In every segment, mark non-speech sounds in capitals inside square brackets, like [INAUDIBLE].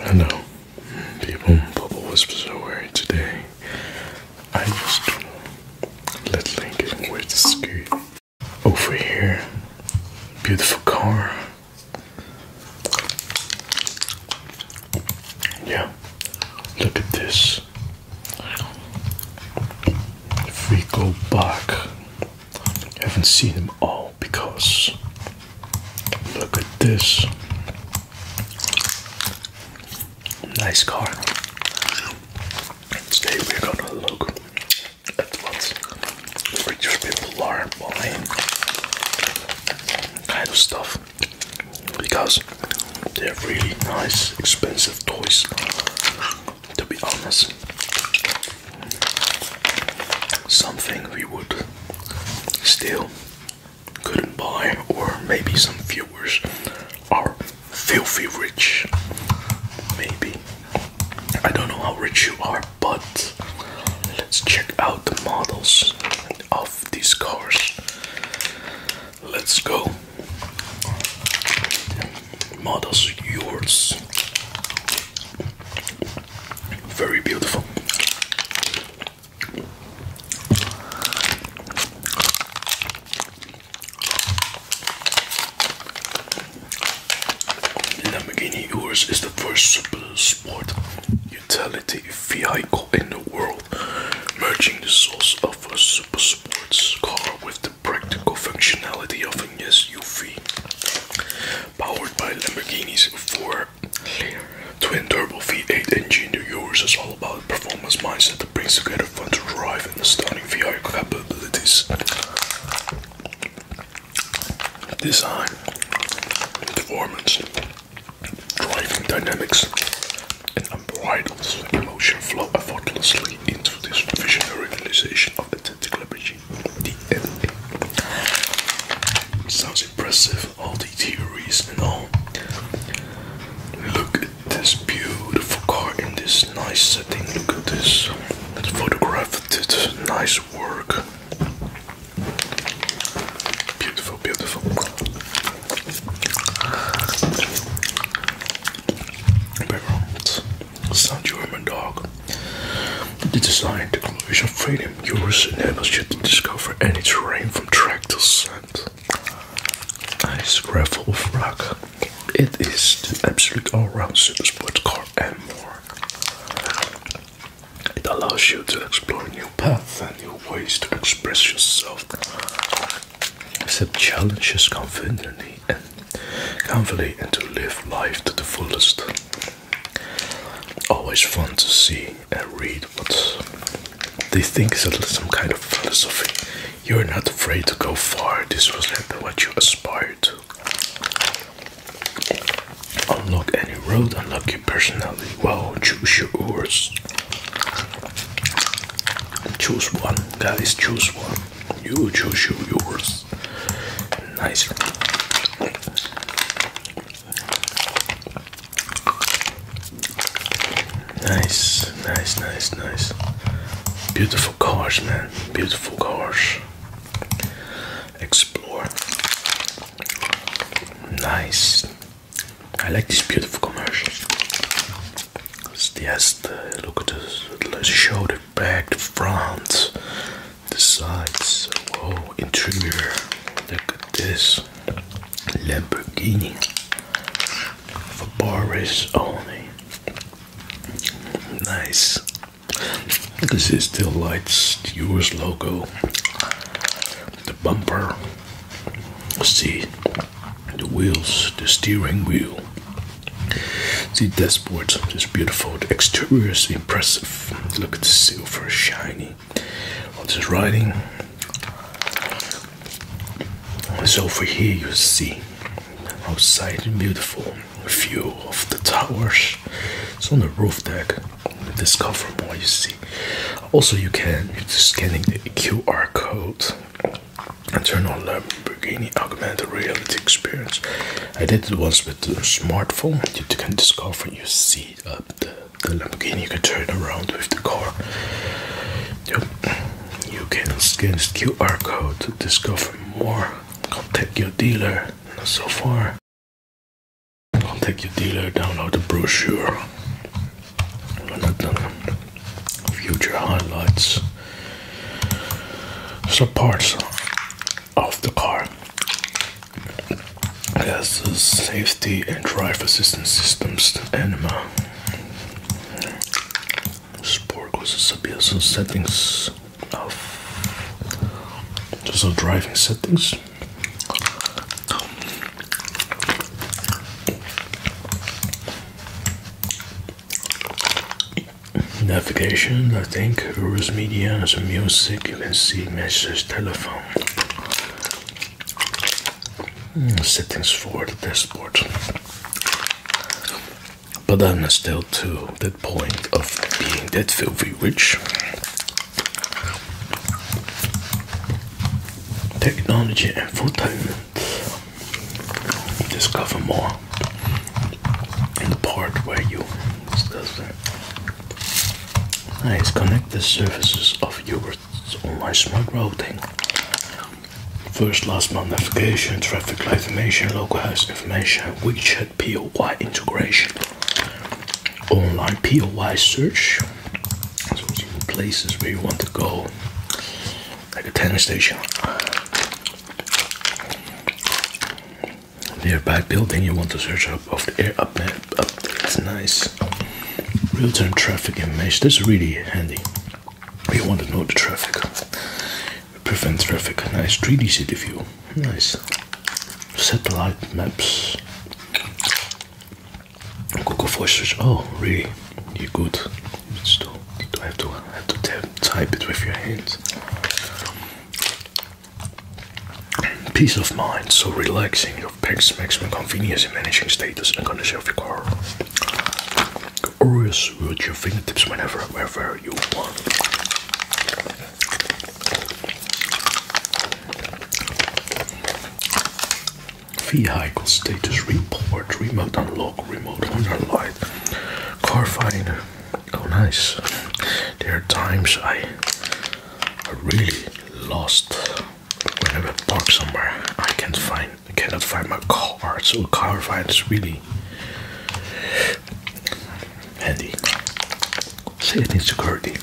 I know people in Bubble Whispers are worried today. I just let Lincoln wear the skirt. Over here, beautiful car. Yeah, look at this. If we go back, I haven't seen them all because Look at this. Nice car. today we're gonna look at what rich people are buying kind of stuff because they're really nice, expensive toys. To be honest, something we would still couldn't buy, or maybe some viewers are filthy rich. Maybe. I don't know how rich you are, but let's check out the models of these cars. Let's go. Models yours. Very beautiful. Lamborghini Urus is the first sport utility vehicle in the world, merging the source of a super sports car with the practical functionality of an SUV powered by Lamborghini's four twin turbo V8 engine. The Urus is all about performance mindset that brings together fun to drive and stunning VR capabilities. Design, performance, driving dynamics, and unbridled emotion flow effortlessly into this visionary realization of the authentic liberty changing Sounds impressive, all the theories and all. Look at this beautiful car in this nice setting. Look at this. It's photographed it. Nice work. Beautiful, beautiful. Background. Sound you German dog. The design, technology, and freedom yours enables you to discover any terrain from track to sand. Ice gravel of rock. It is the absolute all-round super sports car and more. It allows you to explore new paths and new ways to express yourself. Accept challenges confidently and confidently and to live life to the fullest always fun to see and read what they think is some kind of philosophy. You're not afraid to go far. This was like what you aspired to. Unlock any road, unlock your personality. Wow, choose yours. Choose one, guys. Choose one. You choose your yours. Nice. Nice, nice, nice, Beautiful cars, man. Beautiful cars. Explore. Nice. I like this beautiful commercials. Yes, just look at this. Let's show, it back, to France the sides. Oh, interior. Look at this Lamborghini for bar race only. Nice. This is still light the US logo, the bumper. See the wheels, the steering wheel. See dashboard is beautiful. The exterior is impressive. Look at the silver shiny. All this writing. So over here you see outside beautiful view of the towers. It's on the roof deck. Discover more you see. Also you can you're just scanning the QR code and turn on Lamborghini augmented reality experience. I did it once with the smartphone. You can discover you see uh, the, the Lamborghini. You can turn around with the car. Yep. You can scan this QR code to discover more. Contact your dealer. Not so far. Contact your dealer. Download the brochure. Future highlights some of the car. It has the safety and drive assistance systems, anima. Sport goes to some settings of just so driving settings. Navigation, I think, Urus Media, some music, you can see message, telephone. Hmm, settings for the dashboard. But I'm still to that point of being that filthy rich. Technology and entertainment discover more in the part where you discover. that. Nice, connect the surfaces of Uber's online smart routing. First, last month navigation, traffic light information, localized information, WeChat POY integration, online POY search, so places where you want to go, like a tennis station, Nearby building you want to search up of the air up map. Up, that's nice. Real-time traffic in That's really handy. You want to know the traffic. Prevent traffic. Nice 3D city view. Nice. Satellite maps. Google Voice search. Oh, really? You're good. Stop. Do I have to, have to type it with your hands? Peace of mind, so relaxing. Your packs maximum convenience in managing status and condition of your car. Always with your fingertips whenever, wherever you want. Vehicle status report, remote unlock, remote on light, Car finder. Oh, nice. There are times I, I really lost whenever I park somewhere. I can't find, cannot find my car. So car finder is really handy. See, it needs security.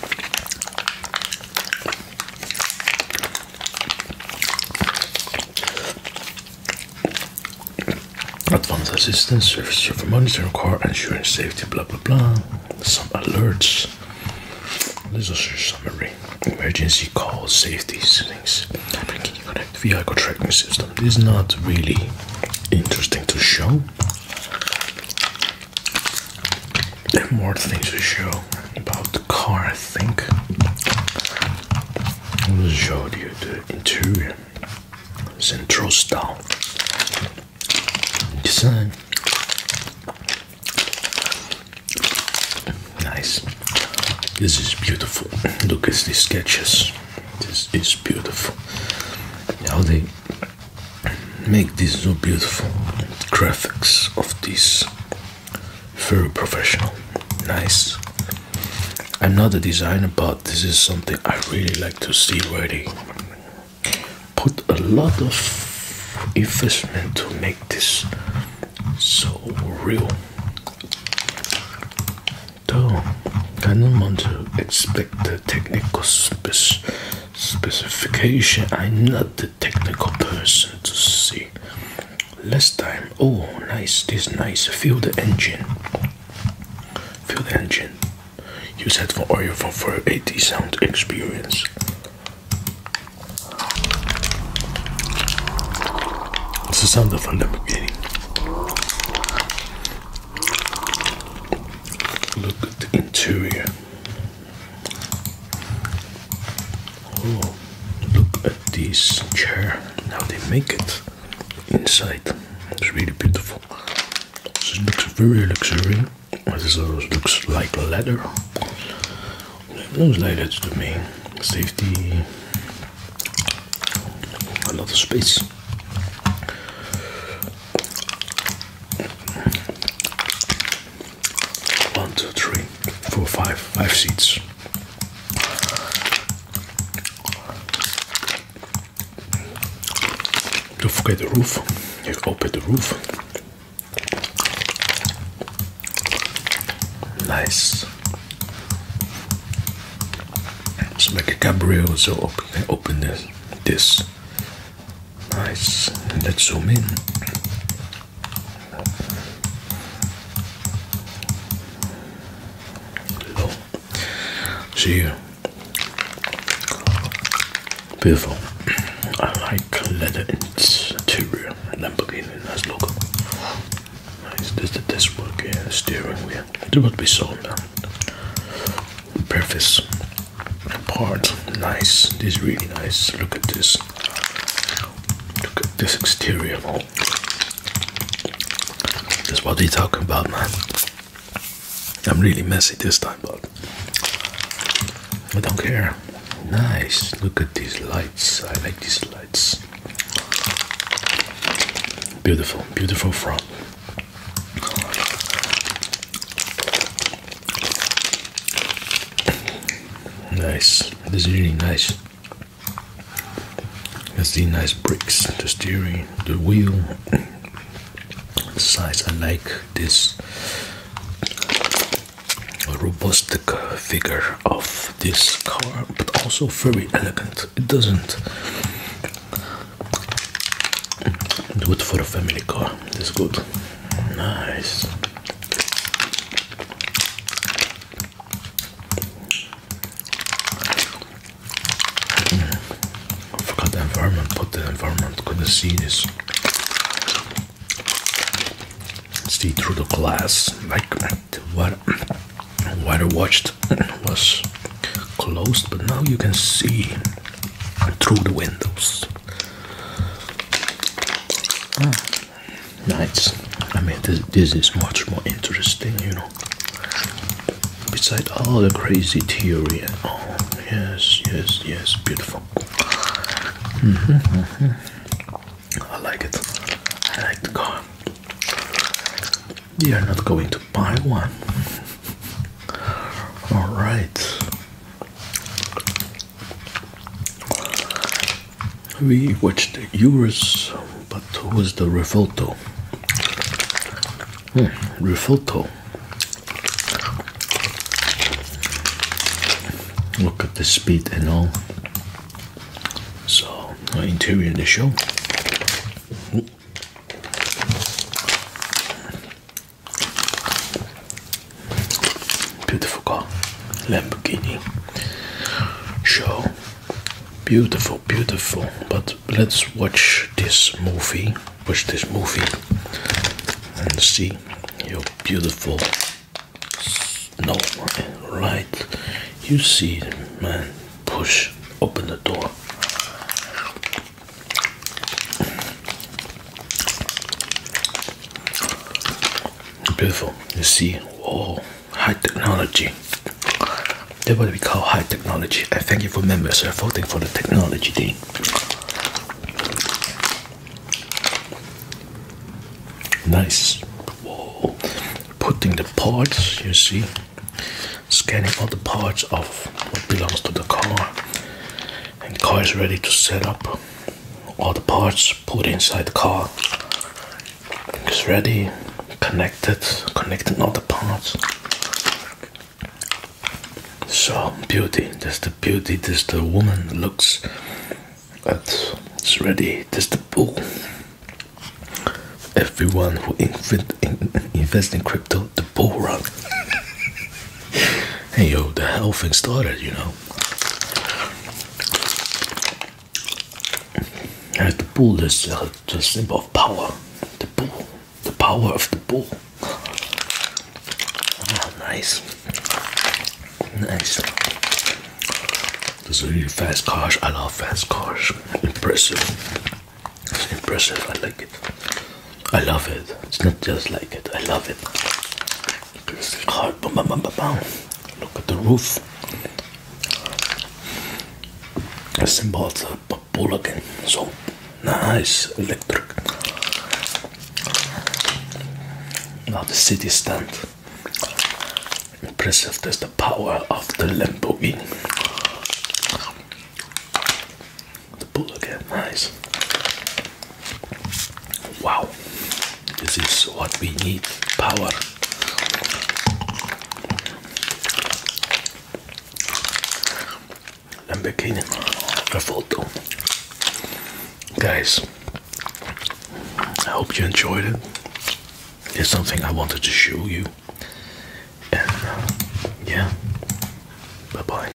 Advanced assistance, service server monitoring car, insurance, safety, blah blah blah. Some alerts. This is your summary. Emergency calls, safety things. vehicle tracking system? This is not really interesting to show. There are more things to show about the car, I think. I'll show you the interior. Central style design. Nice. This is beautiful. Look at these sketches. This is beautiful. How they make this so beautiful. graphics of this very professional. Nice. I'm not a designer, but this is something I really like to see where they put a lot of investment to make this so real. Though I don't want to expect the technical specification. I'm not the technical person to see last time oh nice this is nice feel the engine feel the engine use that for audio for 480 sound experience it's the sound of the beginning. look at the interior Oh, look at this chair. Now they make it inside. It's really beautiful. This looks very luxurious. This also looks like leather. It looks like that to me. Safety. A lot of space. One, two, three, four, five, five seats. Don't forget the roof. You open the roof. Nice. It's like a Gabriel, so open this. Nice. Let's zoom in. Low. See, beautiful. I like leather interior. Lamborghini, has logo. Nice. This the desk work steering wheel. It would be sold now. Preface part, nice. This is really nice. Look at this. Look at this exterior wall. That's what they're talking about, man. I'm really messy this time, but I don't care. Nice. Look at these lights. I like these lights. Beautiful, beautiful frog. Nice. This is really nice. That's the nice bricks, the steering, the wheel. The [COUGHS] size I like this robust figure of this car, but also very elegant. It doesn't do it for a family car. It's good. Nice. forgot the environment, but the environment couldn't see this. See through the glass, like what what I watched was closed, but now you can see through the windows. Hmm nights. I mean, this, is much more interesting, you know. Besides all the crazy theory and all, yes, yes, yes, beautiful. Mm -hmm, I like it. I like the car. We are not going to buy one. [LAUGHS] All right. We watched the Euros, but who was the refoto? Hmm, refoto. Look at the speed and all. So, uh, interior in Beautiful car, Lamborghini show. Beautiful, beautiful. But let's watch this movie. Watch this movie and see your beautiful. No, right. You see, man. Push. Open the door. Beautiful. You see, oh, high technology. That's what we call high technology. I thank you for members voting for the technology thing. Nice. Whoa. Putting the parts, you see, scanning all the parts of what belongs to the car and car is ready to set up all the parts put inside the car it's ready connected connecting all the parts so beauty that's the beauty this the woman looks But it's ready this the bull everyone who invent, in, invests in crypto the bull run [LAUGHS] hey yo the hell thing started you know as the bull is uh, the symbol of power. The bull. The power of the bull. Ah, nice. Nice. This is a really fast cars. I love fast cars. Impressive. It's impressive. I like it. I love it. It's not just like it. I love it. Hard. Look at the roof. A symbol of the bull again. So nice electric. Now the city stand. Impressive. There's the power of the Lamborghini. The bull again, eh? nice. Wow, this is what we need power. I'm beginning a photo. Guys, I hope you enjoyed it. It's something I wanted to show you. And uh, yeah, bye bye.